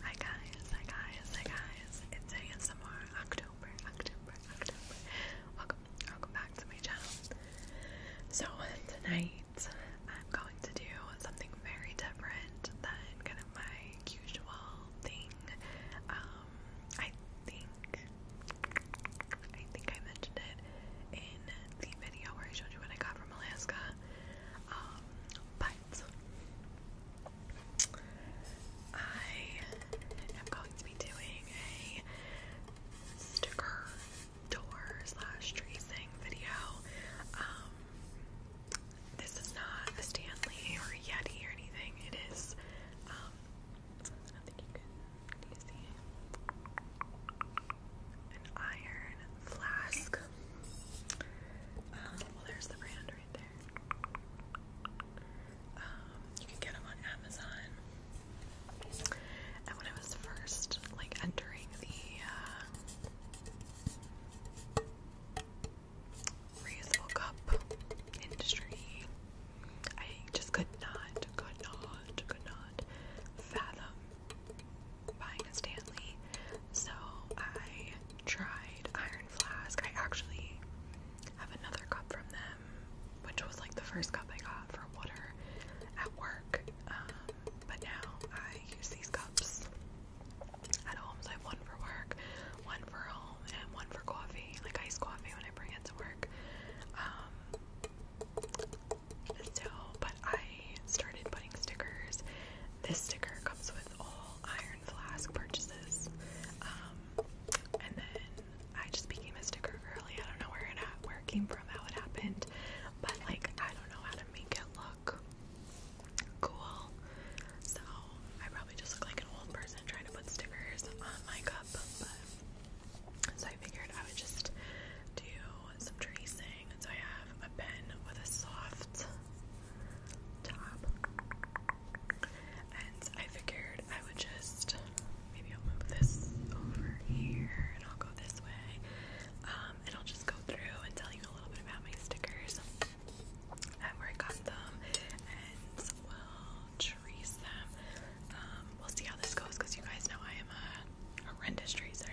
Hi guys, hi guys, hi guys. It's ASMR October, October, October. Welcome, welcome back to my channel. So tonight I'm going to do something very different than kind of my usual thing. Um, I think, I think I mentioned it in the video where I showed you what I got from Alaska. Um, I am going to be doing a sticker door slash tracing video. Um, this is not a Stanley or Yeti or anything. It is, um, you an iron flask. Um, well, there's the brand right there. Um, you can get them on Amazon. And when I was first like entering the uh, reusable cup industry, I just could not, could not, could not fathom buying a Stanley. So I tried Iron Flask. I actually have another cup from them, which was like the first cup I got for water at work. Um, but now I use these cups at home. So I have one for work, one for home, and one for coffee, like iced coffee when I bring it to work. Um, so, but I started putting stickers. This sticker comes with all Iron Flask purchases. Um, and then I just became a sticker girly. I don't know where it where it came from, how it happened, but like I don't know how to make it look cool. So I probably just look like an old person trying to put stickers on my cup. so I figured I would just do some tracing so I have a pen with a soft top. And I figured I would just maybe I'll move this over here and I'll go this way. Um, and I'll just go through and tell you a little bit about my stickers and where I got them and we'll trace them. Um, we'll see how this goes because you guys know I am a horrendous tracer.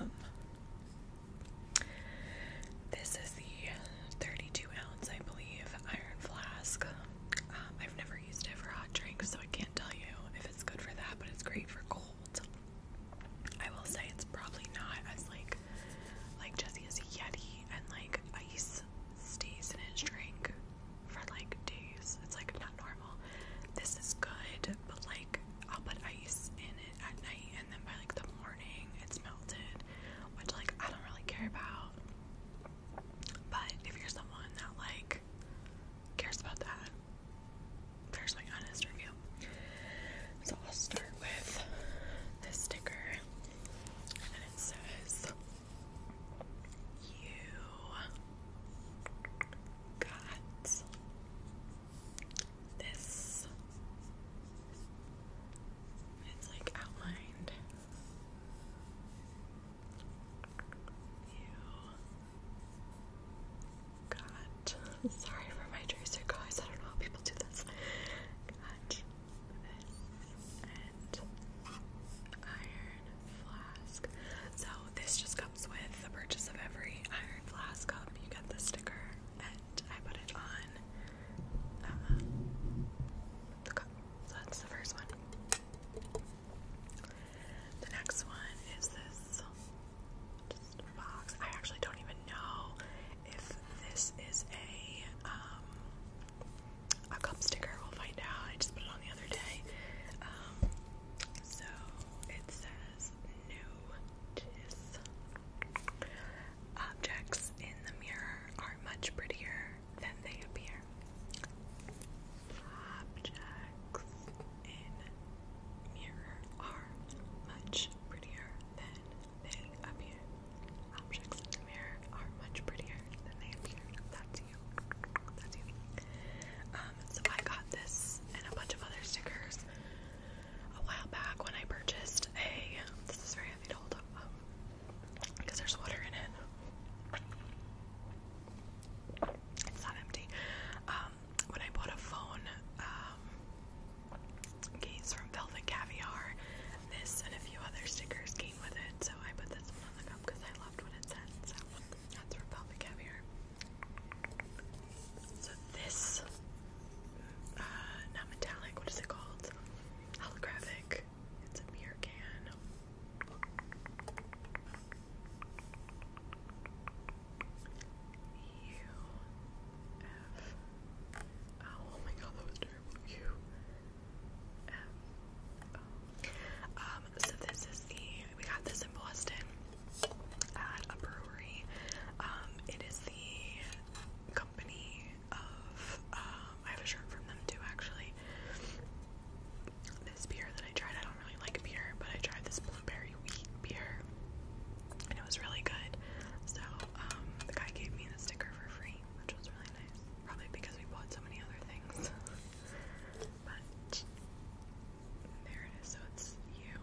Um, this is the 32 ounce, I believe, iron flask. Um, I've never used it for hot drinks, so I can't tell you if it's good for that, but it's great for cold. I will say it's probably not as like like Jesse a Yeti and like ice stays in his drink for like days. It's like not normal. This is good, but like I'll put ice in it at night and then by like the morning it's melted, which like I don't really care about. But if you're someone that like cares about that, there's my honest review. So I'll start with this sticker and it says you got this. It's like outlined. You got. Sorry for my tracer, guys. I don't know how people do this. Got this and iron flask. So this just comes with the purchase of every iron flask cup. You get the sticker, and I put it on uh, the cup. So that's the first one. The next one is this box. I actually don't even know if this is a um, a cup sticker. We'll find out. I just put it on the other day. Um, so it says notice objects in the mirror are much prettier than they appear. Objects in mirror are much prettier than they appear. Objects in the mirror are much prettier than they appear. That's um, so I got this and a bunch of other stickers a while back when I purchased a. This is very heavy to hold up because um, there's water in it. It's not empty. Um, when I bought a phone um, from Velvet Caviar, this and a few other stickers came with it. So I put this one on the cup because I so this, uh, not metallic, what is it called? Holographic. It's a beer can. Oh, my god, that was terrible. U um, so this is the we got this in Boston at a brewery. Um, it is the company of um, I have a shirt from them too actually. This beer that I tried, I don't really like beer, but I tried this blueberry wheat beer and it was really good. So the guy gave me a sticker for free, which was really Probably because we bought so many other things. but there it is. So it's U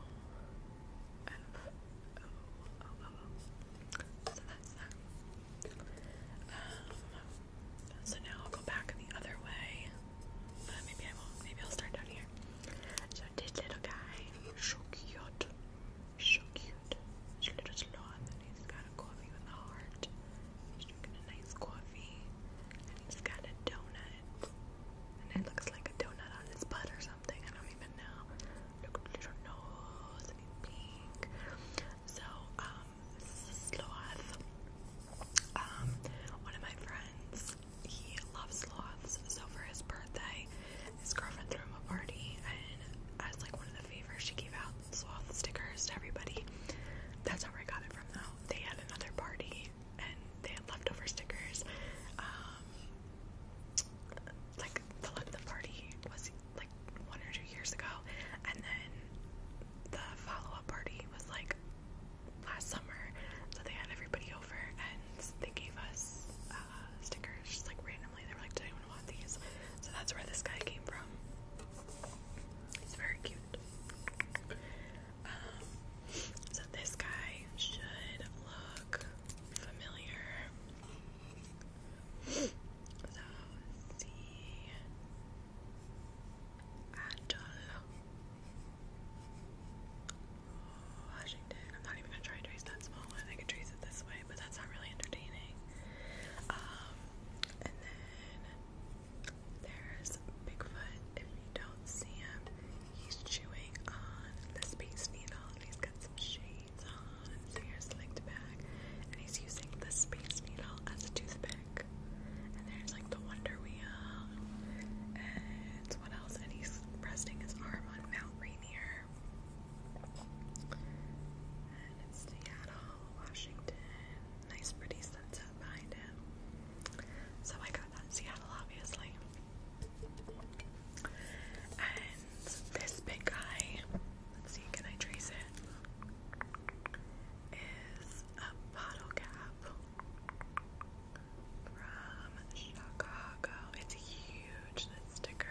F O O O O. So that's that. Um, so now I'll go back the other way. But uh, maybe I will Maybe I'll start down here. So this little guy, so cute, so cute and she let us he's got a coffee with a heart. He's drinking a nice coffee, and he's got a donut, and it looks like a donut on his butt or something. I don't even know. Look at little nose, he's pink. So, um, sloth. Um, one of my friends, he loves sloths. So for his birthday, his girlfriend threw him a party, and as like one of the favors she gave out sloth stickers to everybody. That's where I got it from though. They had another party and they had leftover stickers. Um, like the the party was like one or two years ago, and then the follow up party was like last summer. So they had everybody over and they gave us uh, stickers, just like random they were like, "Does anyone want these?" So that's where this guy came from. He's very cute. Um, so this guy should look familiar. So C Adol Washington. I'm not even gonna try and trace that small one. I can trace it this way but that's not really entertaining. Um, and then there's Bigfoot. If you don't see him, he's chewing on the space needle he's got some shades on and his hair's And he's using the space needle as a toothpick. And there's like the Wonder Wheel. And what else? And he's resting his arm on Mount Rainier. And it's Seattle, Washington. Nice, pretty sunset behind him. So I got that Seattle, obviously. And this big guy, let's see, can I trace it? Is a bottle cap from Chicago. It's huge, that sticker.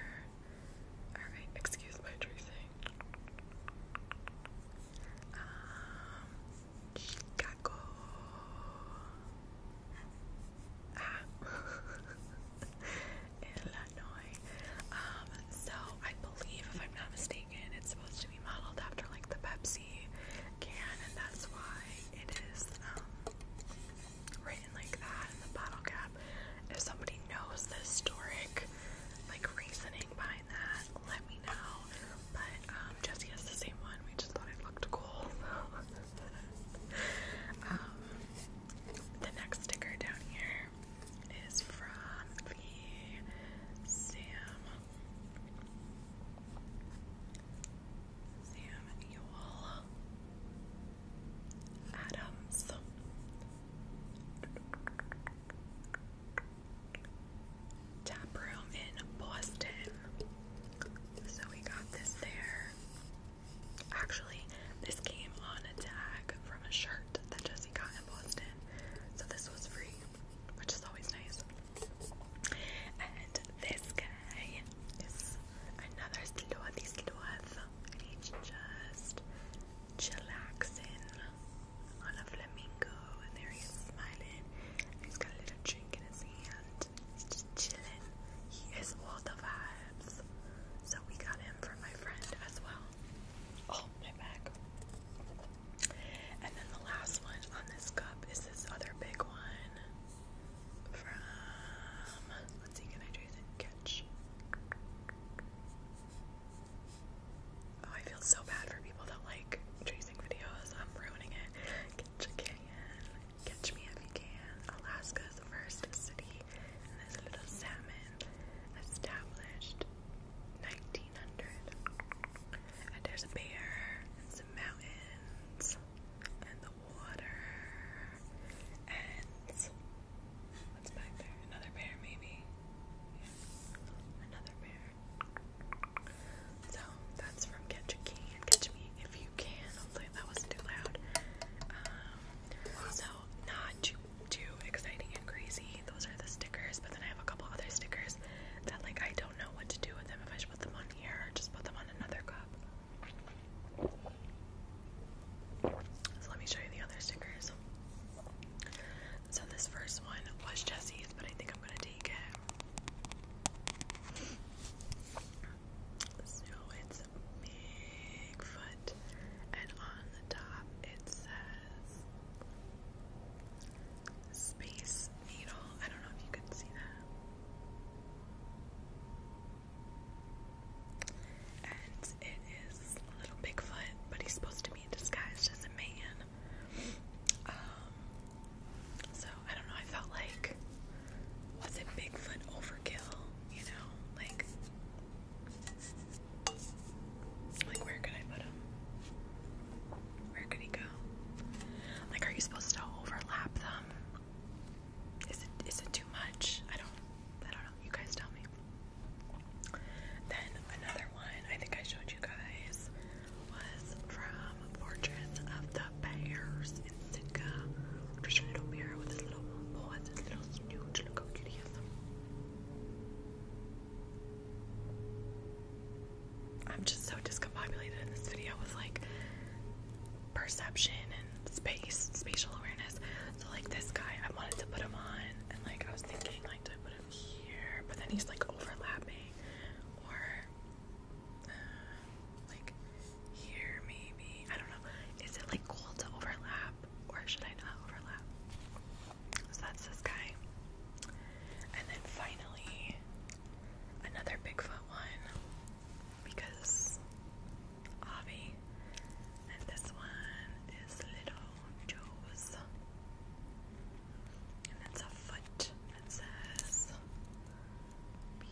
Alright, excuse my tracing. Um, Chicago. Ah. Illinois. Um, so I believe, if I'm not mistaken, it's supposed to be modeled after like the Pepsi can, and that's why it is um, and like that and the bottle cap. If somebody knows the historic like reasoning behind that, let me know. But um Jesse has the same one. We just thought it looked cool. um the next sticker down here is from the Sam Sam Yule Adams. Tap room in Boston. So we got this there. Actually, this came on a tag from a shirt that Jesse got in Boston. So this was free, which is always nice. And this guy today another Sloth Sloth and just chillaxing on a flamingo and there he smiling he's got a little drink in his hand he's just chilling he is all the vibes so we got him from my friend as well oh my back and then the last one on this cup is this other big one from let's see, can I do the catch? Oh, I feel so bad for people that like tracing videos. I'm ruining it. Catch a can. Catch me if you can. Alaska's first city and this little salmon established 1900. And there's a bear some mountains and the water and what's back there? Another bear maybe. Yeah. Another bear. So that's from Catch a King Catch Me If You Can. Hopefully that wasn't too loud. Um, so not too too exciting and crazy. Those are the stickers, but then I have a couple other stickers that like I don't know what to do with them if I should put them on here or just put them on another cup. So let me show you the other stickers. So this first one was Jesse's, but I think I'm gonna take it. So it's Bigfoot, and on the top it says Space needle. I don't know if you can see that. And it is little Bigfoot, but he's supposed to be disguised as a man. Um, so I don't know. I felt like was it Bigfoot overkill? You know, like like where could I put him? Where could he go? Like, are you supposed to overlap them? Um, is it is it too much? I don't I don't know. You guys tell me. Then another one I think I showed you guys was from Fortress of the Bears in Sitka. Just a little bear with his little paw and his little snooch. Look how cute he is. I'm just so discombobulated in this video with like perception and space, spatial awareness. So like this guy, I wanted to put him on, and like I was thinking, like, to put him here? But then he's like overlapping, or uh, like here maybe. I don't know. Is it like cool to overlap, or should I not overlap? So that's this guy. And then finally, another Bigfoot one because Avi, and this one is Little Joe's, and it's a foot that says Beaver.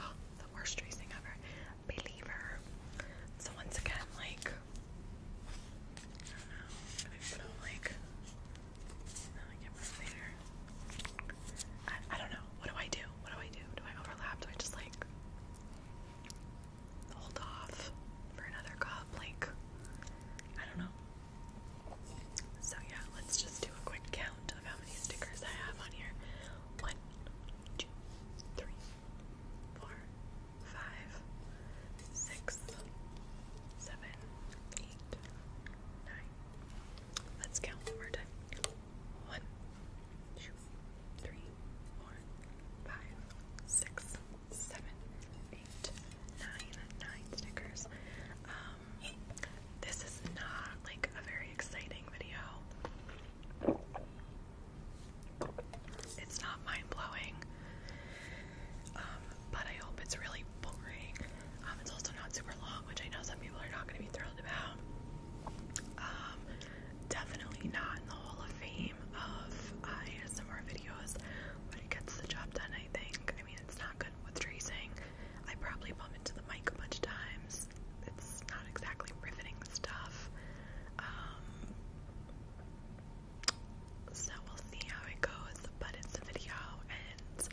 Oh, the worst tracing ever believer. So once again, like I don't know, I feel like I don't know. What do I do? What do I do? Do I overlap? Do I just like hold off for another cup? Like I don't know. So yeah, let's just do a quick count of how many stickers I have on here. One, two, three, four, five, six, seven, eight, nine. Let's count one more time. One, two, three, four, five, six, seven, eight, nine, nine stickers. Um, this is not like a very exciting video. It's not mind blowing, um, but I hope it's really boring. Um, it's also not super long, which I know some people are not going to be thrilled about. Um, definitely not in the Hall of Fame of uh, ASMR videos, but it gets the job done, I think. I mean, it's not good with tracing. I probably bump into the mic a bunch of times it's it's not exactly riveting stuff. Um, so we'll see how it goes, but it's a video and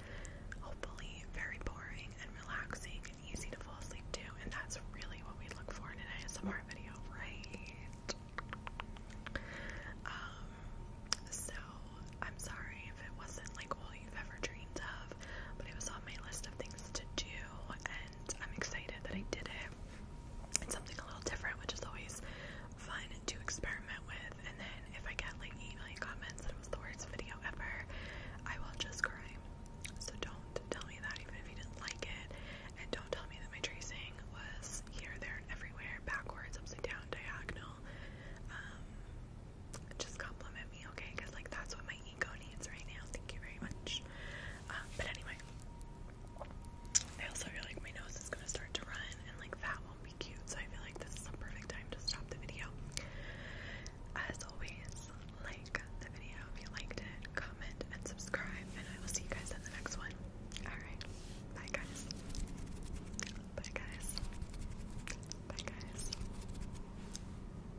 hopefully very boring and relaxing and easy to fall asleep to, and that's really what we look for in an ASMR video, right? Um, so I'm sorry if it wasn't like all you've ever dreamed of, but it was on my list of things to do, I'm excited that I did it. It's something a little different, which is always fun to experiment with. And then if I get like 8 million comments that it was the worst video ever, I will just cry. So don't tell me that, even if you didn't like it. And don't tell me that my tracing was here, there, and everywhere, backwards, upside down, diagonal. Um, just compliment me, okay? Because like that's what my right now. Thank you very much. Um, but anyway, I also feel like my nose is gonna start to run, and like that will be cute. So I feel like this is a perfect time to stop the video. As always, like the video if you liked it, comment and subscribe, and I will see you guys in the next one. Alright, bye guys. Bye guys. Bye guys.